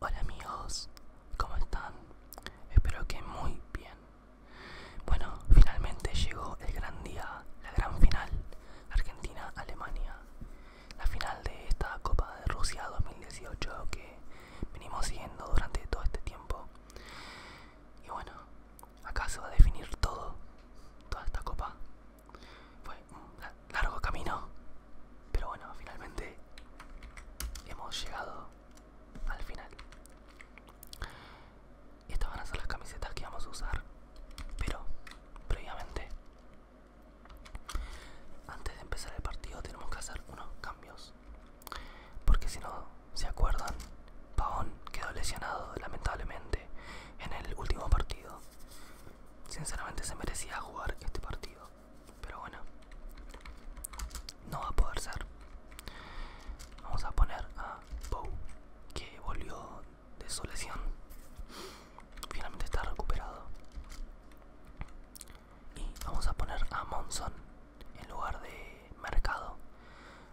Hola amigos, ¿cómo están? Espero que muy bien. Bueno, finalmente llegó el gran día, la gran final, Argentina-Alemania. La final de esta Copa de Rusia 2018 que venimos siguiendo durante todo este tiempo. Y bueno, acá se va a definir todo, toda esta copa. Fue largo camino, pero bueno, finalmente hemos llegado al final. Estas van a ser las camisetas que vamos a usar, pero previamente, antes de empezar el partido, tenemos que hacer unos cambios. Porque si no se acuerdan, Paón quedó lesionado lamentablemente en el último partido. Sinceramente se merecía jugar este partido pero bueno no va a poder ser vamos a poner a Bow que volvió de su lesión finalmente está recuperado y vamos a poner a Monson en lugar de mercado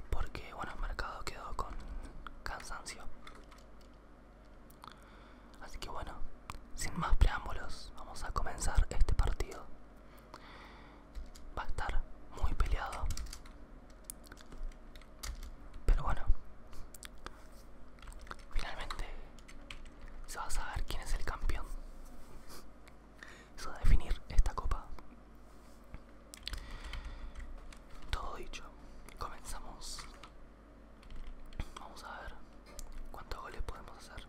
porque bueno mercado quedó con cansancio Así que bueno, sin más preámbulos, vamos a comenzar este partido. Va a estar muy peleado. Pero bueno, finalmente se va a saber quién es el campeón. Se va a definir esta copa. Todo dicho, comenzamos Vamos a ver cuántos goles podemos hacer.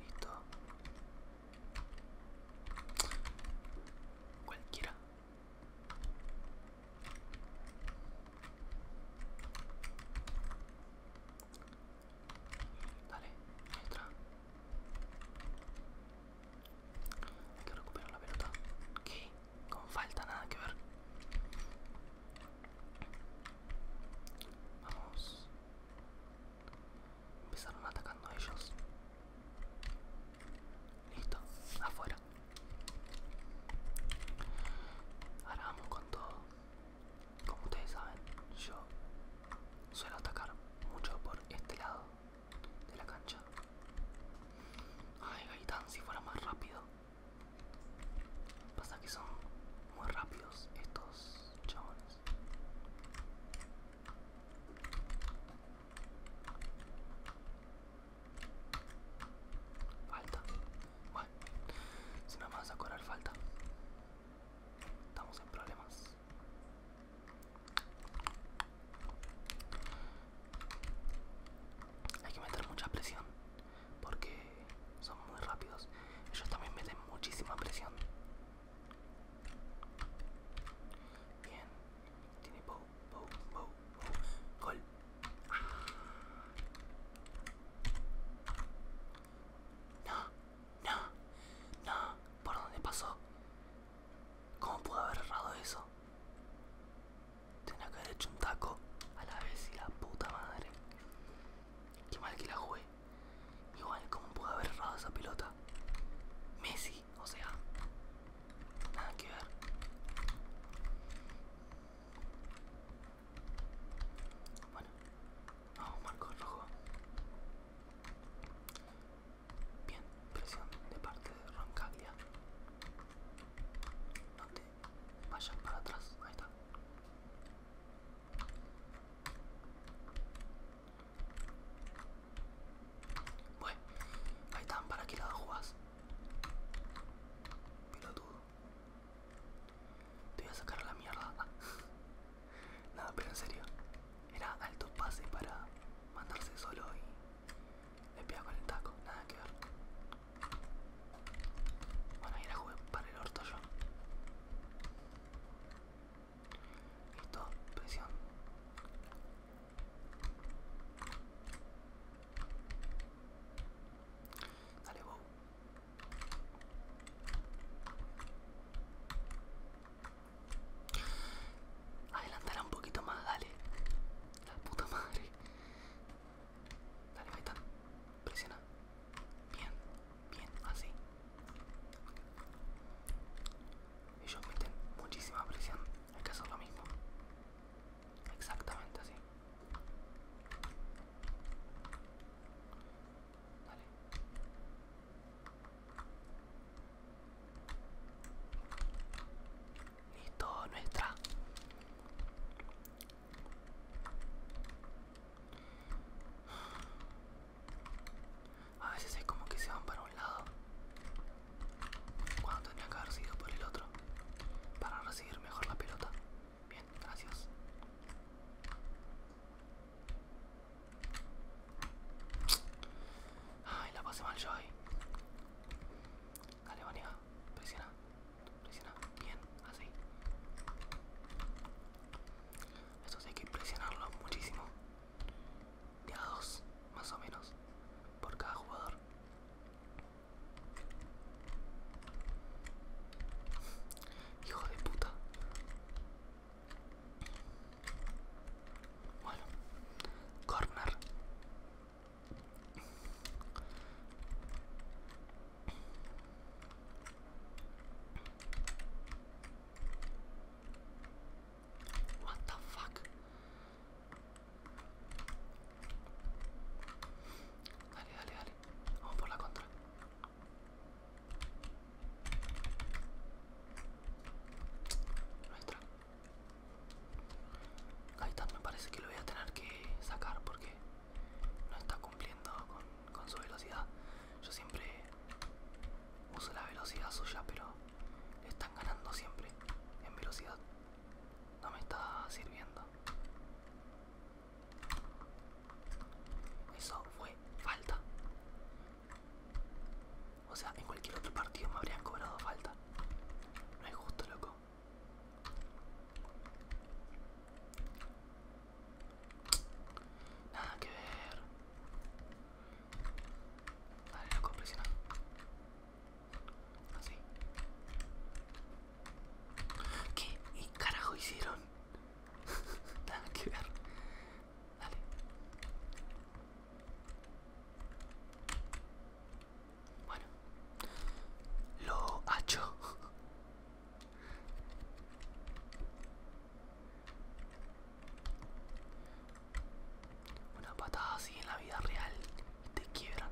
Listo. Cualquiera. Dale, entra Hay que recuperar la pelota. ¿Qué? Con falta nada que ver. Vamos. Empezaron atacando a ellos. Listo, afuera. Ahora vamos con todo. Como ustedes saben, yo suelo atacar mucho por este lado de la cancha. Ay, Gaitán, si fuera más rápido. Pasa que son muy rápidos estos chabones. Falta. Bueno, si no me vas a cobrar falta. Estamos en problemas. Hay que meter mucha presión porque son muy rápidos. Ellos también meten muchísima presión. Bien, tiene bow, bow, bow, Gol. No, no, no. ¿Por dónde pasó? ¿Cómo pudo haber errado eso? Tenía que haber hecho un taco a la vez y la puta madre. Qué mal que la jugué. Igual, ¿cómo pude haber errado esa pelota? Messi, o sea. Nada que ver. Bueno. Vamos, marco el rojo. Bien, presión de parte de Roncaglia te vayan para atrás, ahí está. Bueno, ahí están, ¿para qué lado jugás? Pilotudo. Te voy a sacar a la mierda. Nada, pero en serio. Era alto pase para mandarse solo y le pía con el taco, nada que ver. Bueno, ahí la jugué para el orto yo. Listo, presión. Dale, wow. Adelantar un poquito más, dale. La puta madre. Dale, ahí Presiona. Bien, bien, así. Ellos meten muchísima presión. el caso es lo mismo. Exactamente así. Dale. Listo, nuestra. A veces es como que se van para un lado. Cuando tendría que haber sido por el otro. Para recibir mejor la pelota. Bien, gracias. Ay, la pasé mal yo ahí. Dale, vení, presiona, presiona, bien, así. Esto hay que presionarlo muchísimo. De a dos, más o menos, por cada jugador. Hijo de puta. Bueno, corner. What the fuck? Dale, dale, dale. Vamos por la contra. Nuestra. Gaitán me parece que lo voy a tener que sacar porque no está cumpliendo con, su velocidad. Yo siempre uso la velocidad suya, pero le están ganando siempre en velocidad. No me está sirviendo. Eso fue falta. O sea, en cualquier otro partido me habrían cobrado falta. No es justo, loco. Nada que ver. Dale, la nada Así. ¿Qué ¿Y carajo hicieron? Nada que ver. Dale. Bueno, lo hecho. Una patada así en la vida real te quiebra.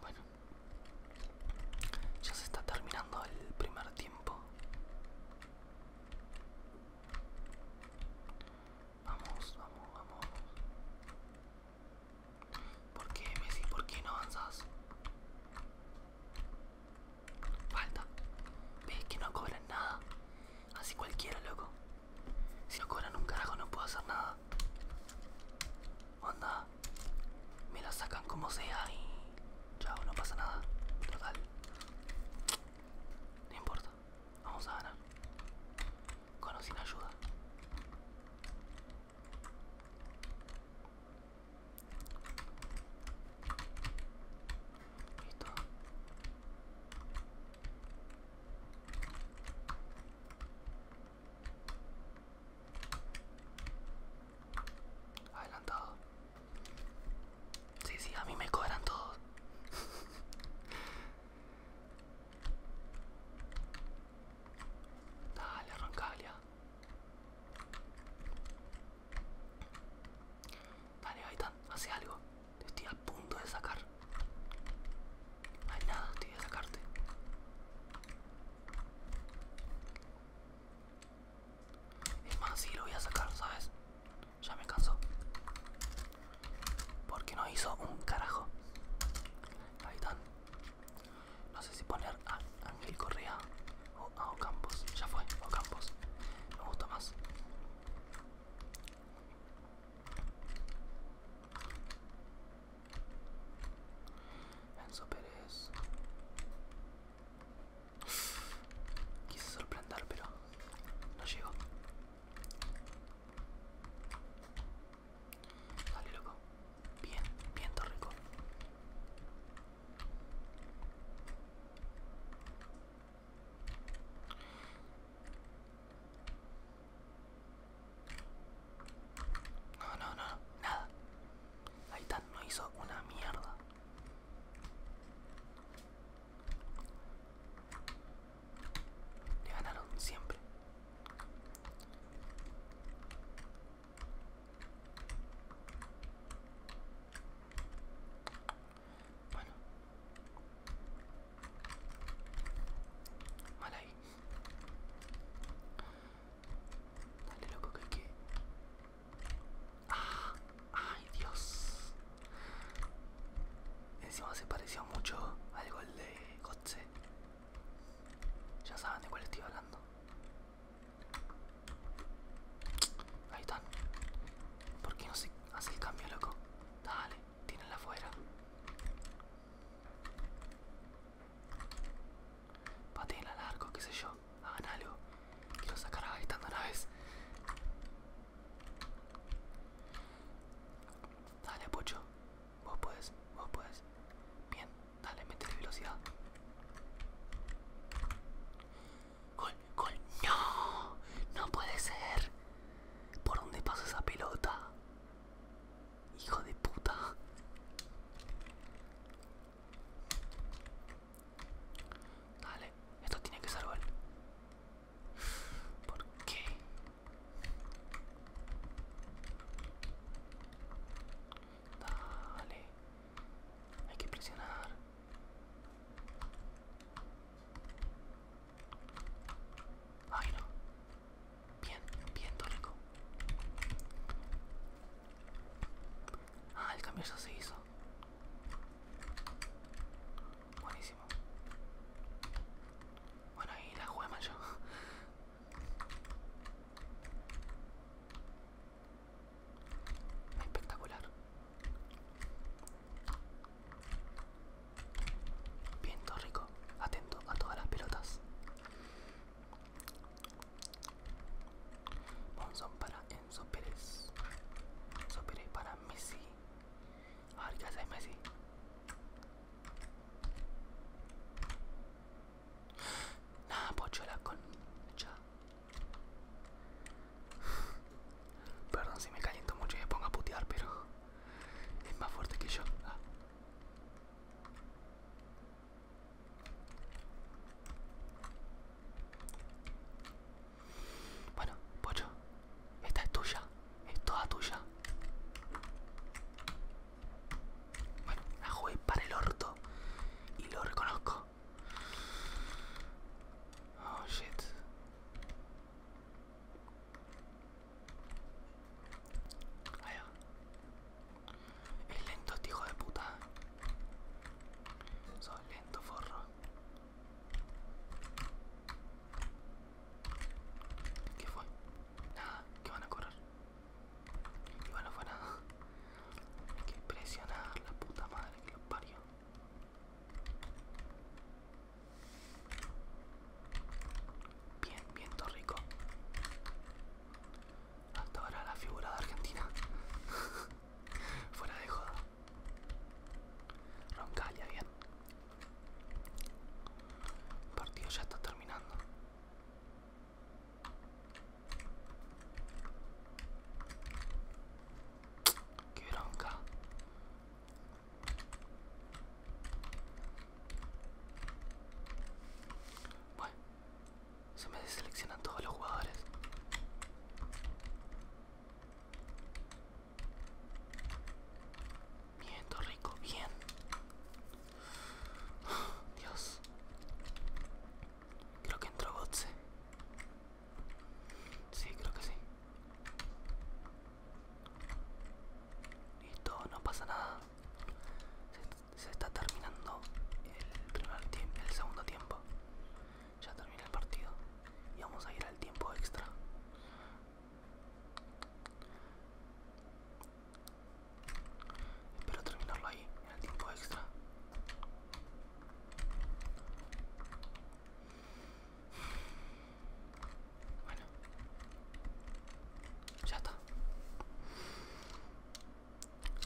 Bueno, ya se está terminando el primer tiempo. Vamos, vamos, vamos. ¿Por qué, Messi? ¿Por qué no avanzas? Falta. Ves que no cobran nada. Así cualquiera, loco. Si no cobran un carajo no puedo hacer nada. Onda. Me la sacan como sea y... Chao, no pasa nada. Total. No importa. Vamos a ganar. Con o sin ayuda. Listo. Adelantado. Sí, sí, a mí me cobran todos. Dale, arrancale. Dale, hace algo. Te estoy a punto de sacar. No hay nada, estoy a sacarte. Es más, sí lo voy a sacar, ¿sabes? Ya me cansó. Porque no hizo un carajo. Ahí están. No sé si poner a Ángel Correa o a Ocampos. Ya fue, Campos Me gusta más. Enzo Pérez. Quise sorprender, pero no llegó. Dale, loco. Bien, bien, rico. No, no, no, nada. Ahí está, no hizo una mierda. Le ganaron siempre. Bueno. Mal ahí. Dale loco que hay que... ¡Ah! ¡Ay Dios! Encima se pareció mucho al gol de Gotze. Ya saben de cuál estoy hablando. Ahí están. ¿Por qué no se hace el cambio, loco? Dale, tienen la fuera. en al arco, qué sé yo. Hagan algo. Quiero sacar a Gaitán a una vez. Dale, Pocho. Vos puedes, vos puedes. Bien, dale, mete velocidad. Gol, gol, no, no puede ser. ¿Por dónde pasa esa pelota? Hijo de puta. Dale, esto tiene que ser gol. ¿Por qué? Dale. Hay que presionar. Ay no. Bien, bien, Tórico. Ah, el cambio ya se hizo. Buenísimo. Bueno, ahí la jugué yo. Espectacular. Viento rico. Atento a todas las pelotas. Monzón para Enzo Pérez. Enzo Pérez para Messi. A ver qué hace Messi. Nada, pocho la Ya Perdón si me caliento mucho y me pongo a putear, pero es más fuerte que yo. Ah. Bueno, Pocho, esta es tuya, es toda tuya. Bueno, la jugué para el orto y lo reconozco. Oh shit. Es lento este hijo de puta. Sos lento, forro. ¿Qué fue? Nada, ¿Qué van a correr. Y bueno, fue nada. Hay que presionar la puta madre que los parió. Bien, bien rico. Hasta ahora la figura de Argentina. Fuera de joda. Roncalia, bien. El partido ya está terminando. Qué bronca. Bueno, se me deseleccionan todos los jugadores. Bien, rico, bien. Dios. Creo que entró Gotze. Sí, creo que sí. Listo, no pasa nada. Se, está terminando el el segundo tiempo. Ya termina el partido. Y vamos a ir al tiempo extra. Espero terminarlo ahí, en el tiempo extra. Bueno, ya está.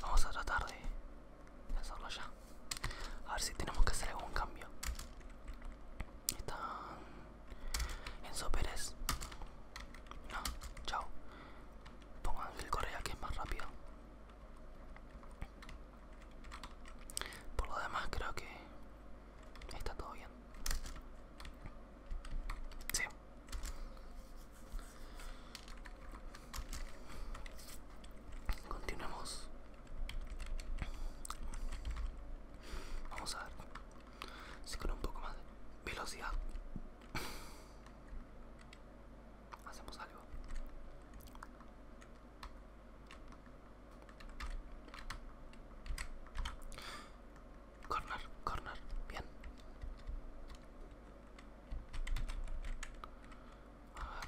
Vamos a tratar de hacerlo ya. A ver si tenemos que hacer algún cambio. Están Enzo Pérez. No, chao. Pongo Ángel Correa que es más rápido. Por lo demás creo que está todo bien. Sí. Continuemos. Vamos a ver si con un poco más de velocidad hacemos algo corner corner bien a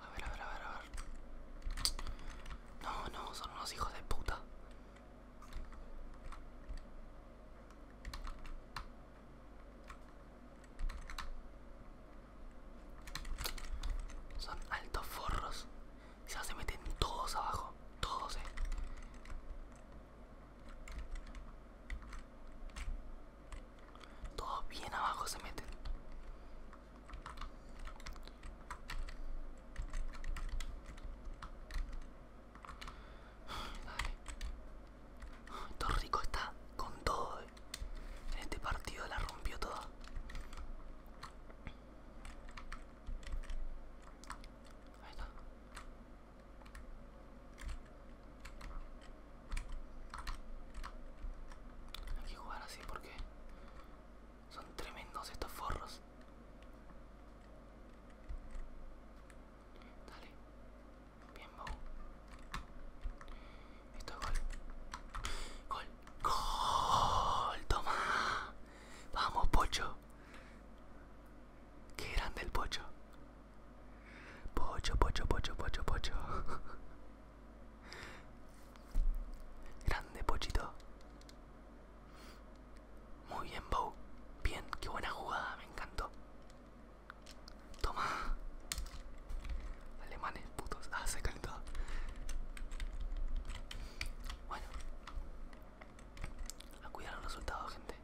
a ver, a ver, a ver, a ver. No, no, son unos hijos de puta. Son altos forros. Ya se meten todos abajo. Todos, eh. Todo bien abajo se mete. Dale. rico está con todo. Eh. En este partido la rompió todo. está. Hay que jugar así porque son tremendos estos forros. Dale. Bien, Esto es gol. Gol. Gol. Toma. Vamos, Pocho. Qué grande el Pocho. Pocho, pocho, pocho, pocho, pocho. Grande pochito. Muy bien, Bow. Bien, qué buena jugada, me encantó. Toma. Alemanes, putos. Ah, se calentó. Bueno. A cuidar los resultados, gente.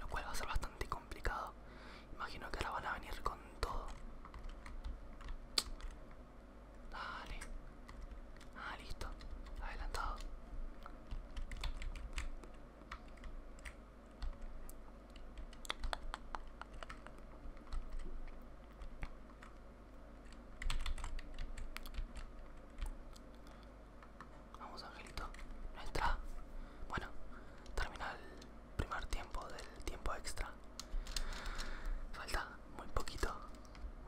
Lo cual va a ser bastante complicado. Imagino que ahora van a venir con todo. Dale. Ah, listo. Adelantado. Vamos, Angelito. entra Bueno, termina el primer tiempo del tiempo extra. Falta muy poquito,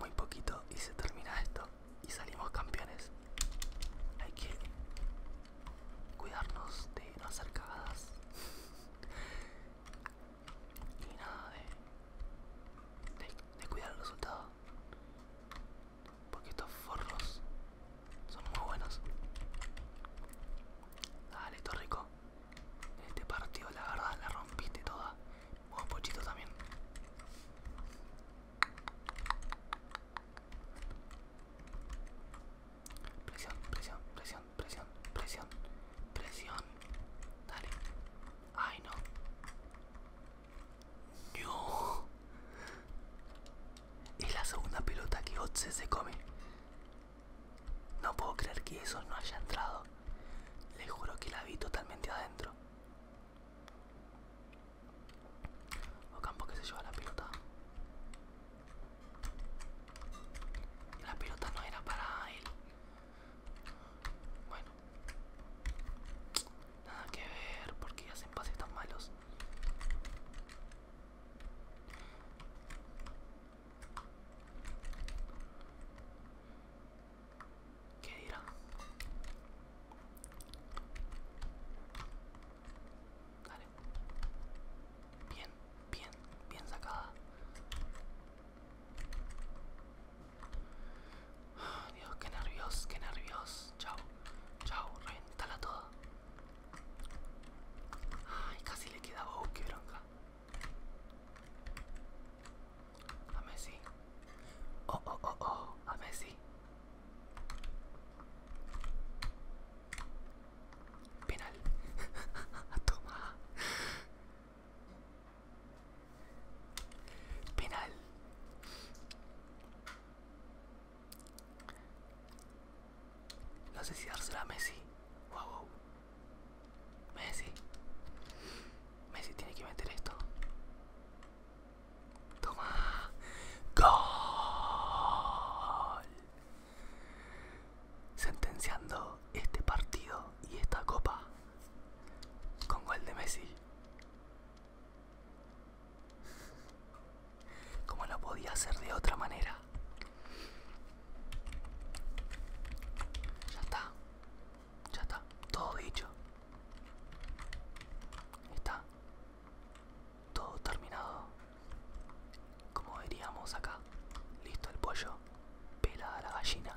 muy poquito y se termina esto. Y salimos campeones. Hay que cuidarnos de no hacer cagadas. y nada de, de, de cuidar el resultado. Porque estos forros son muy buenos. Dale, Torrico. rico este partido, la verdad, la rompiste toda. Un Pochito, también. Presión, presión, presión, presión, presión, presión. Dale. Ay, no. No. Es la segunda pelota que Otse se come. No puedo creer que eso no haya entrado. Le juro que la vi totalmente adentro. campo que se lleva la pelota. La pelota no era para él. Bueno. Nada que ver, porque hacen pases tan malos. ¿Qué dirá? Bien, bien, bien sacada. Ah, Dios, qué nervios, qué nervios. Chao, chao, reventala todo. Ay, casi le queda Bobo, qué bronca. A Messi. Oh, oh, oh, oh, a Messi. Penal. Toma. Penal. No sé si dársela a Messi. Wow, Messi. Messi tiene que meter esto. Toma. Gol. Sentenciando este partido y esta copa. Con gol de Messi. Cómo lo podía hacer de otra manera. Ya está. Ya está. Todo dicho. Está. Todo terminado. Como veríamos acá. Listo el pollo. Pela la gallina.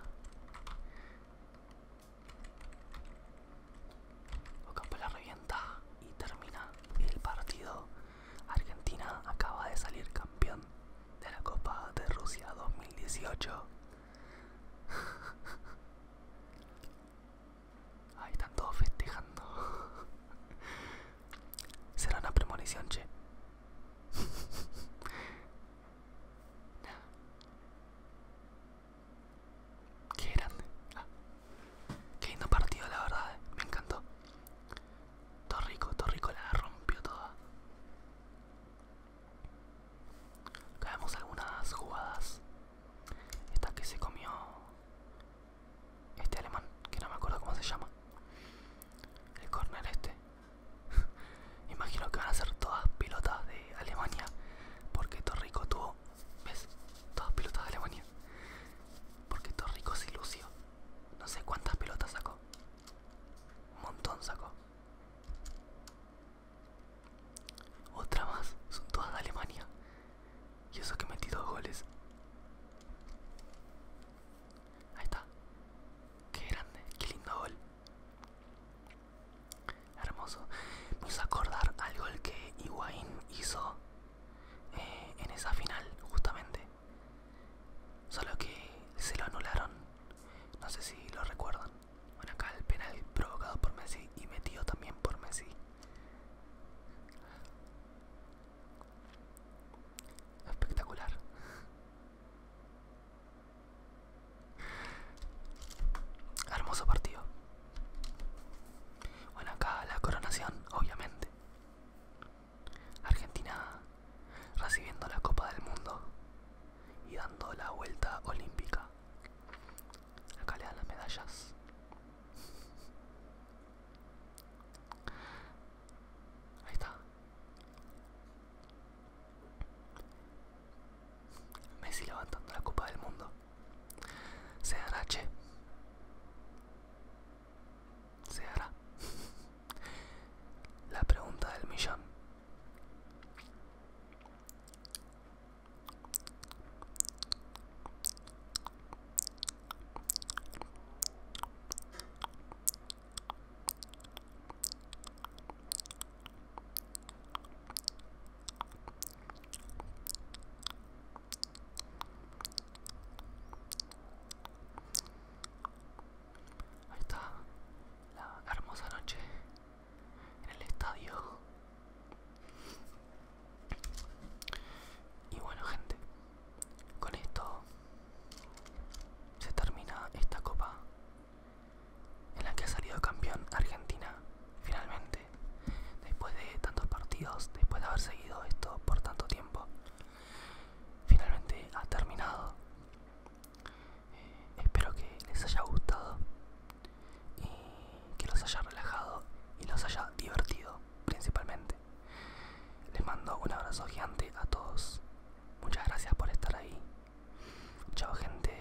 Ocampo la revienta y termina el partido. Argentina acaba de salir campeón de la Copa de Rusia 2018. Ahí están todos festejando. Será una premonición, che. Qué grande. Ah. Qué lindo partido, la verdad. Eh. Me encantó. Torrico, Torrico la rompió toda. Acá vemos algunas jugadas. Esta que se comió este alemán, que no me acuerdo cómo se llama. El corner este. Imagino que van a ser todas pilotas de Alemania, porque Torrico tuvo ¿ves? Todas pelotas de Alemania. Porque Torrico es ilusión No sé cuántas pelotas sacó. Un montón sacó. Otra más. Son todas de Alemania. Y eso que metí dos goles. Ahí está. Qué grande. Qué lindo gol hermoso. Me hizo acordar algo el que Higuaín hizo eh, en esa final, justamente. Solo que se lo anularon. No sé si lo recuerdan. Bueno, acá el penal provocado por Messi y metido también por Messi. Espectacular. Hermoso partido. Bueno, acá la coronación, obviamente. Argentina recibiendo la Copa del Mundo y dando la vuelta olímpica. Acá le dan las medallas. Ahí está. Messi levantando la Copa del Mundo. Se hará, che. Se hará. La pregunta del millón. Ahí está, la hermosa noche en el estadio. Y bueno gente, con esto se termina esta copa en la que ha salido campeón Argentina finalmente. Después de tantos partidos, después de haber seguido esto por tanto tiempo, finalmente ha terminado. Eh, espero que les haya gustado y que los haya relajado y los haya divertido principalmente. Les mando un abrazo gigante a todos. Muchas gracias por estar ahí. Chao gente.